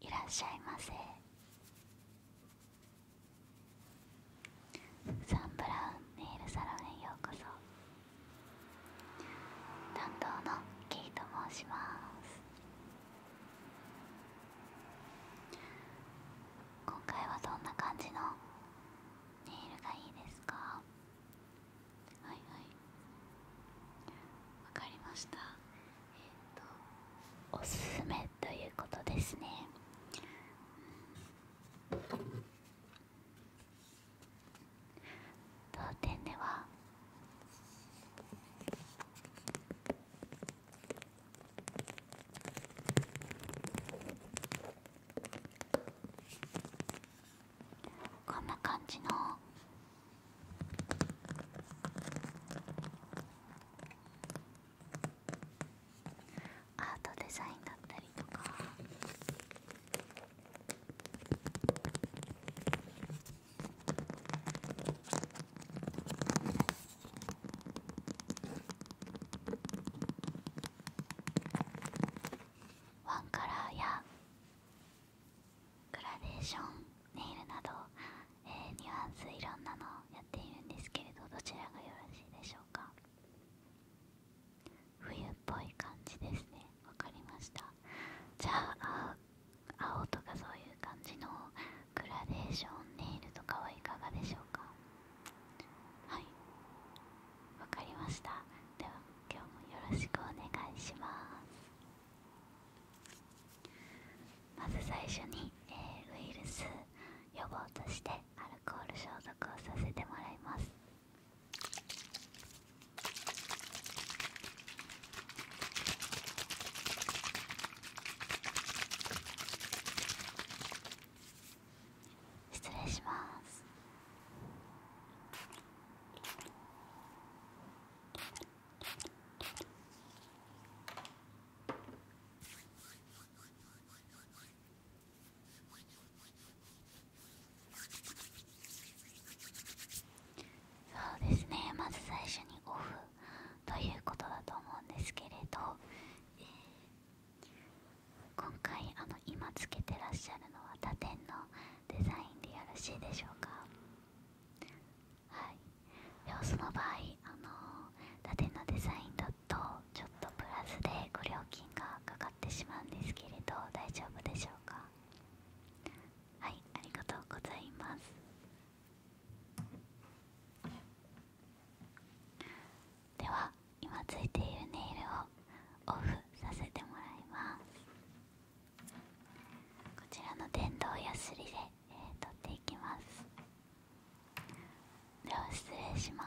いらっしゃいませサンプラウンネイルサロンへようこそ担当のケイと申します今回はどんな感じのネイルがいいですかはいはいわかりましたえっ、とおすすめということですね、うん当店ではこんな感じのアートデザインだったりとか。ワンカラーやグラデーションネイルなど、えニュアンスいろんなのやっているんですけれどどちらがよろしいでしょうか冬っぽい感じですねわかりましたじゃあ青とかそういう感じのグラデーションネイルとかはいかがでしょうかはいわかりましたでは今日もよろしくお願いしますまず最初に、えー、ウイルス予防としてアルコール消毒をさせてもらいます失礼しますそうですねまず最初にオフということだと思うんですけれど、え今回あの今つけてらっしゃるのは他店のデザインでよろしいでしょうかはい様子の場合あの他のデザインだとちょっとプラスでご料金がかかってしまうんですけれど大丈夫でしょうかはいありがとうございますでは今ついているネイルをオフさせてもらいますこちらの電動やすりで、取っていきますでは失礼します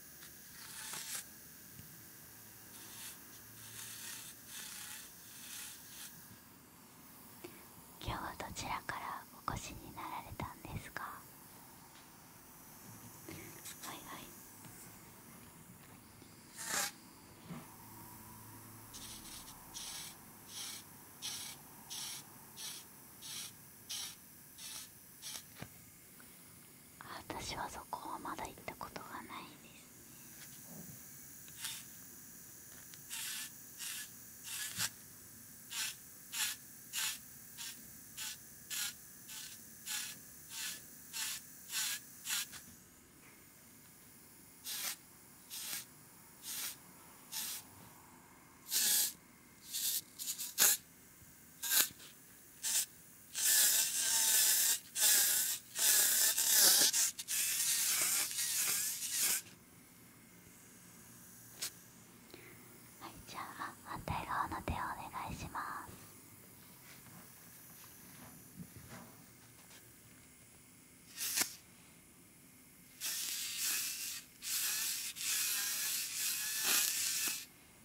今日はどちらからお越しになられたんですかはいはい私はそこはまだ行ったことがないですはいじゃあ反対側の手をお願いします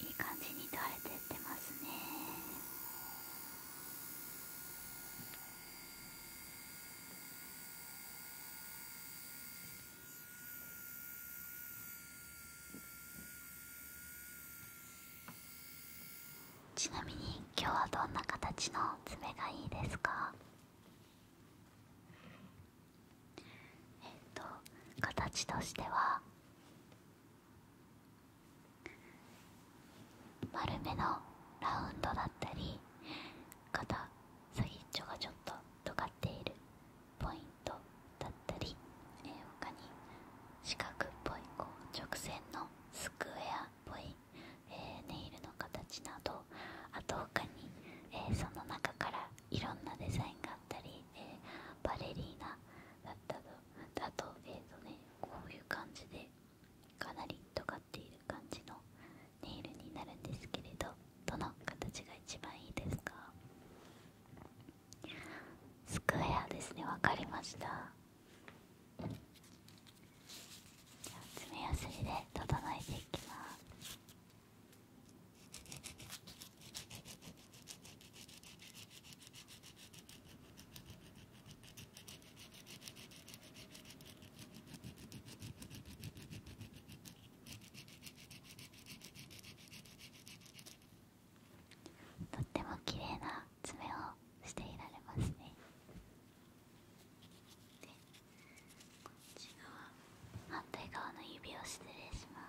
いい感じに垂れてってますねちなみに今日はどんな形の爪がいいですかえっと形としては丸めのラウンドだったり肩先っちょがちょっと尖っているポイントだったり、えー、他に四角っぽいこう直線のスクエアっぽい、えネイルの形などあと他に、えー、その中からいろんなデザインがあったり、えー、バレリーナだったとあと,、えーとね、こういう感じでかなり尖っている感じのネイルになるんですけれどどの形が一番いいですかスクエアですね分かりました爪やすりで整えていきますとっても綺麗な爪をしていられますね。こっち側反対側の指を失礼します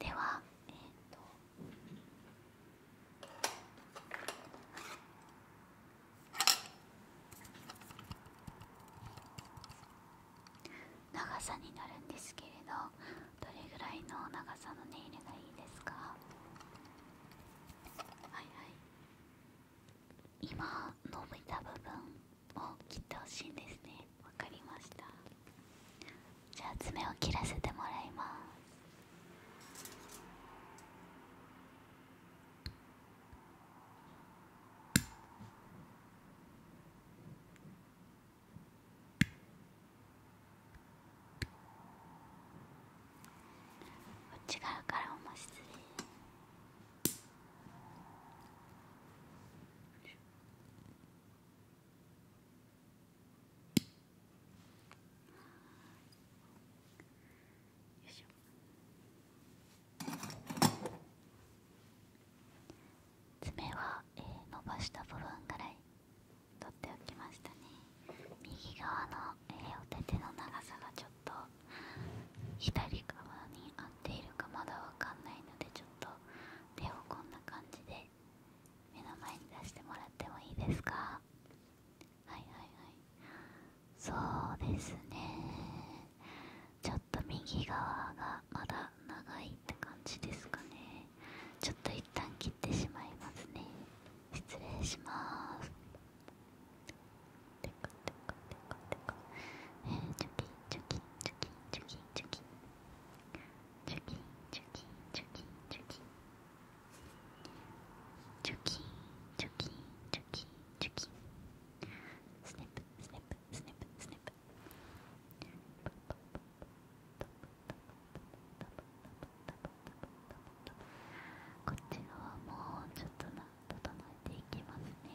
では長さになるんですけれどどれぐらいの長さのネイルがいいですかはいはい今伸びた部分を切ってほしいんですねわかりましたじゃあ爪を切らせてもらいますこっち側からも失礼よ爪は、伸ばした部分ぐらい取っておきましたね右側の、お手手の長さがちょっと左側に合っているかまだわかんないのでちょっと手をこんな感じで目の前に出してもらってもいいですかはいはいはいそうですねちょっと右側がまだ長いって感じですかねちょっと一旦切ってしまいますね失礼しますてかてかてかてかえー、チョキチョキチョキチョキチョキチョキンチョキンチョキンチョキンチョキンチョキンチョキンチョキンスネップスネップスネップスネップこっち側もちょっとな整えていきますね。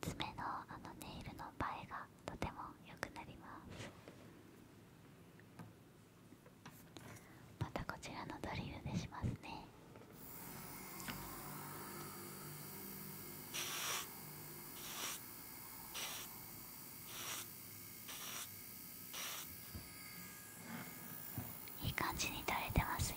爪のあのネイルの映えがとても良くなりますまたこちらのドリルでしますねいい感じに取れてますよ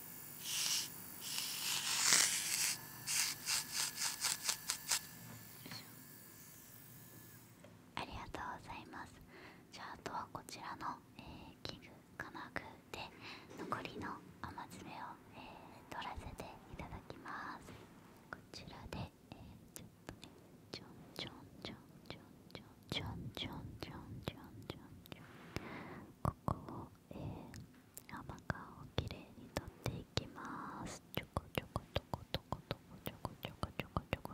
ありがとうございますじゃああとはこちらの、えー、器具金具で残りの雨爪を、取らせていただきますこちらで、えちょっとねちょんちょんちょんちょんちょんちょんちょんちょんちょんちょんここを、えー甘皮をきれいに取っていきますちょこちょこちょこちょこちょこちょこちょこちょこちょこ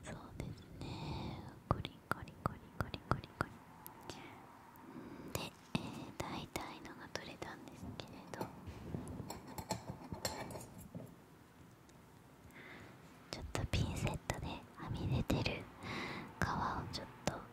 そうですねコリコリコリコリコリコリで、えー、大体のが取れたんですけれどちょっとピンセットではみ出てる皮をちょっと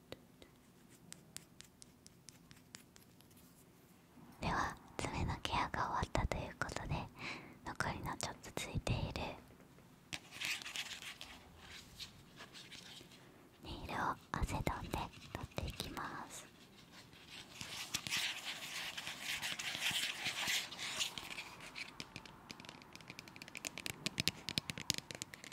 では爪のケアが終わったということで残りのちょっとついているネイルを汗セんで取っていきます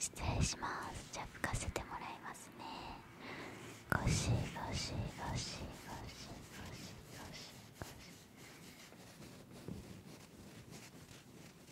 失礼しますじゃあ吹かせてもらいますね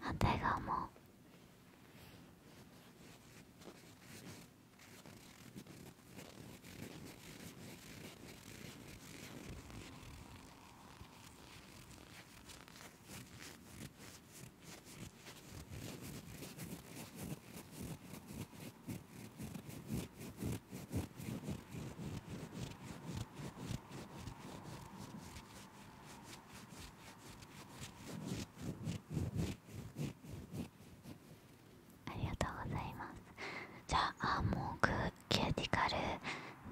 反対側もありがとうございますじゃあアーモグキューティカル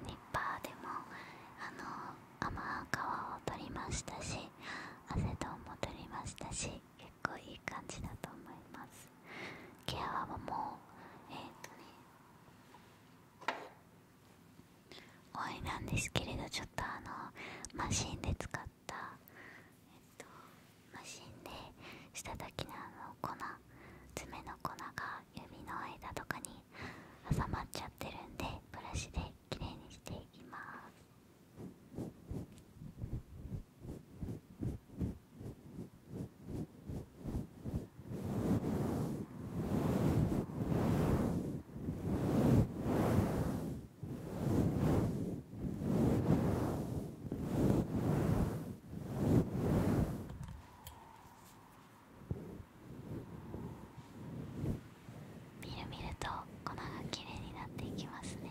ニッパーでもあの甘皮を取りましたしアセトンも取りましたし結構いい感じだと思いますケアはもうえっ、とねおいなんですけれどちょっとあのマシンで使った、マシンで下たたのあの粉爪の粉が指の間とかに挟まっちゃってるんでブラシできれいにしています。みるみると粉がきれいになっていきますね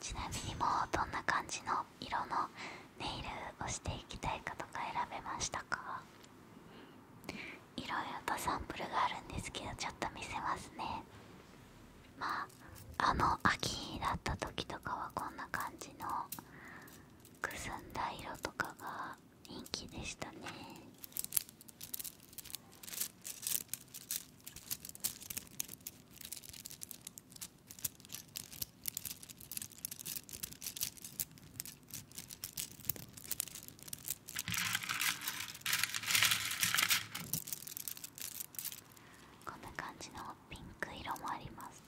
ちなみにもうどんな感じの色のネイルをしていきたいかとか選べましたかいろいろとサンプルがあるんですけどちょっと見せますねまああの秋だった時とかはこんな感じのくすんだ色とかが人気でしたねこんな感じのピンク色もあります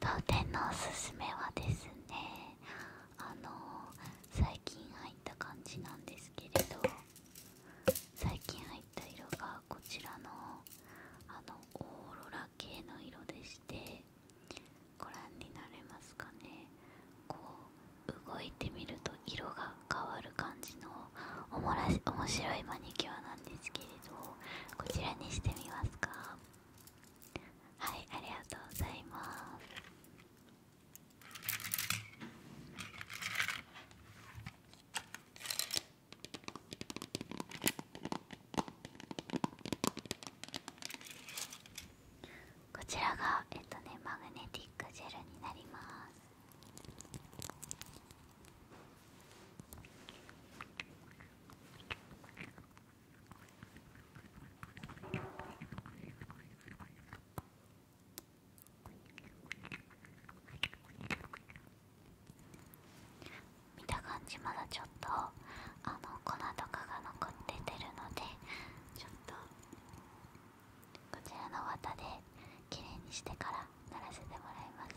当店のおすすめはですねあの最近入った感じなんですけれど最近入った色がこちらのあのオーロラ系の色でしてご覧になれますかねこう動いてみると色が変わる感じのおもらし面白いマニキュアなんですけれどこちらにしてみますかはいありがとうございますこちらがマグネティックジェルになります見た感じまだちょっとあの粉とかが残っててるのでちょっとこちらの綿できれいにしてから鳴らせてもらいますね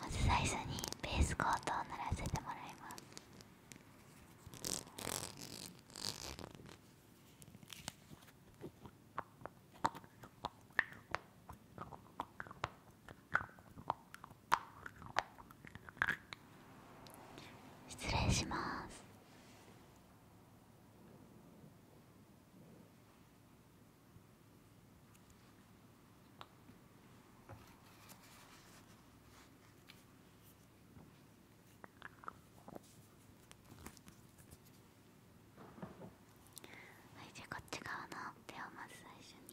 まず最初にベースコートを鳴らせてもらいます失礼しますはいじゃあこっち側の手をまず最初に。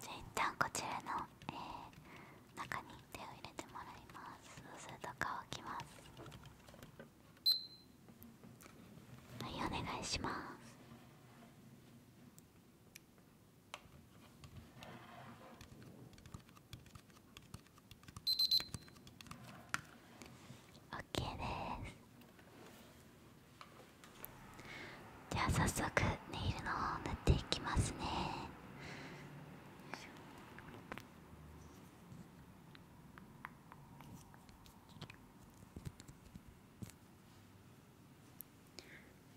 じゃあ一旦こちらの、え中に手を入れてもらいますそうすると乾きますはいお願いしますオッケーですじゃあ早速ネイルの方を塗っていきますね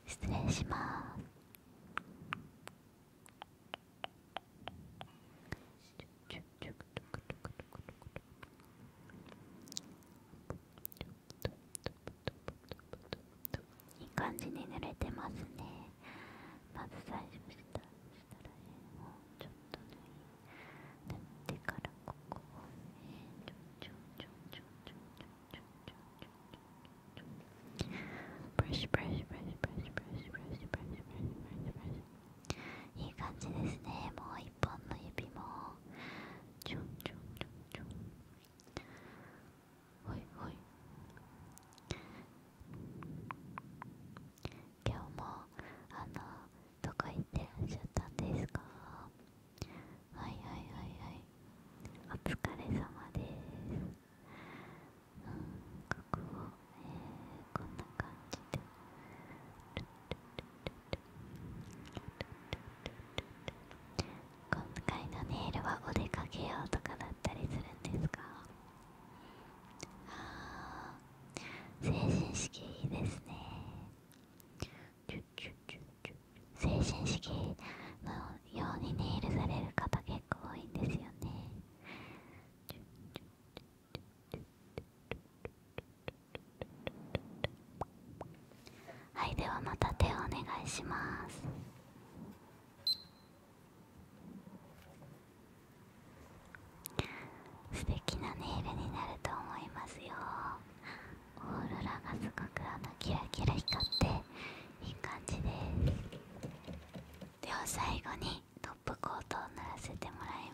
失礼しますいい感じに濡れてますねまず最初したしたらえもうちょっと脱い塗ってからここをえちょちょちょちょちょちょちょちょちょちょブラシブラシブラシブラシブラシブラシブラシブラシいい感じですねもう一本の指もちょちょちょちょほいほい今日もあのとか言ってらっしゃったんですかはいはいはいはいお疲れ様ですうんここを、えこんな感じで今回のネイルはお出かけようとかだったりするんですかああ成人式いいですね精神式のようにネイルされる方結構多いんですよねはいではまた手をお願いします素敵なネイルになると思いますよオーロラがすごくあのキラキラ光っていい感じですでは最後にトップコートを塗らせてもらいます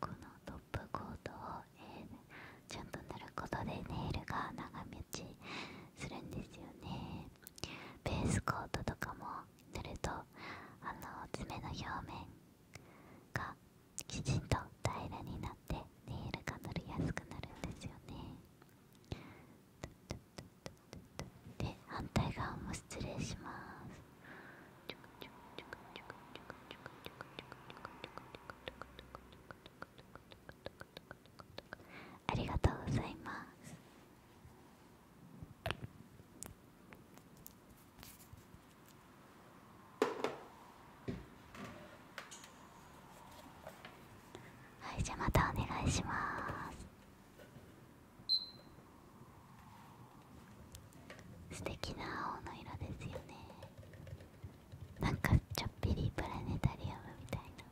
このトップコートを、えちゃんと塗ることでネイルが長持ちするんですよねベースコートとかも塗るとあの爪の表面がきちんと平らになってネイルが塗りやすくなるんですよねで反対側も失礼しますありがとうございますはいじゃあまたお願いします素敵な青の色ですよねなんかちょっぴりプラネタリウムみたいな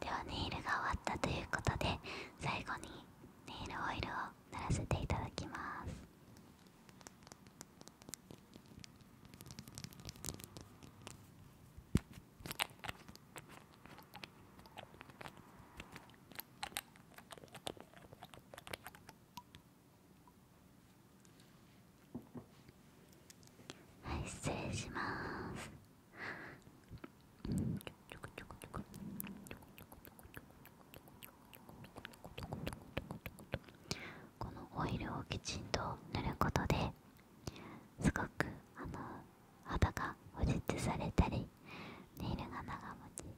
ではネイルが終わったということで最後にネイルオイルを塗らせていただきますはい失礼しますこのオイルをきちんと塗ることですごくあの肌が保湿されたりネイルが長持ち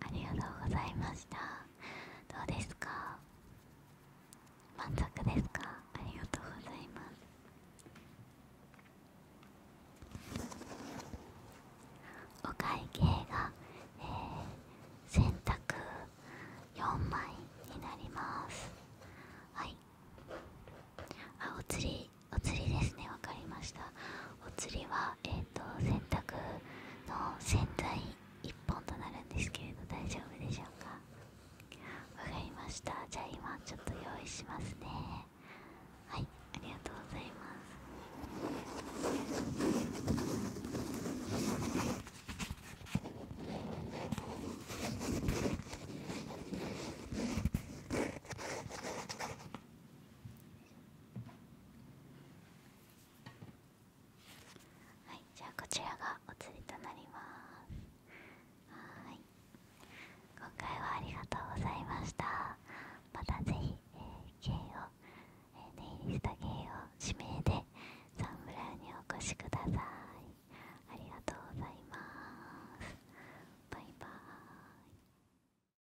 ありがとうございましたどうですか満足ですかありがとうございますお会計が、えー、洗濯4枚になりますはいあお釣りお釣りですねわかりましたお釣りはえっ、と洗濯の洗剤1本となるんですけれど大丈夫でしょうかわかりましたじゃあ今ちょっと用意しますねはいありがとうございますはいじゃあこちらがお釣りとなりますはい今回はありがとうございましたまた是非えー、芸を、えー、ネイリスト芸を指名でサンブラウにお越しくださいありがとうございますバイバーイ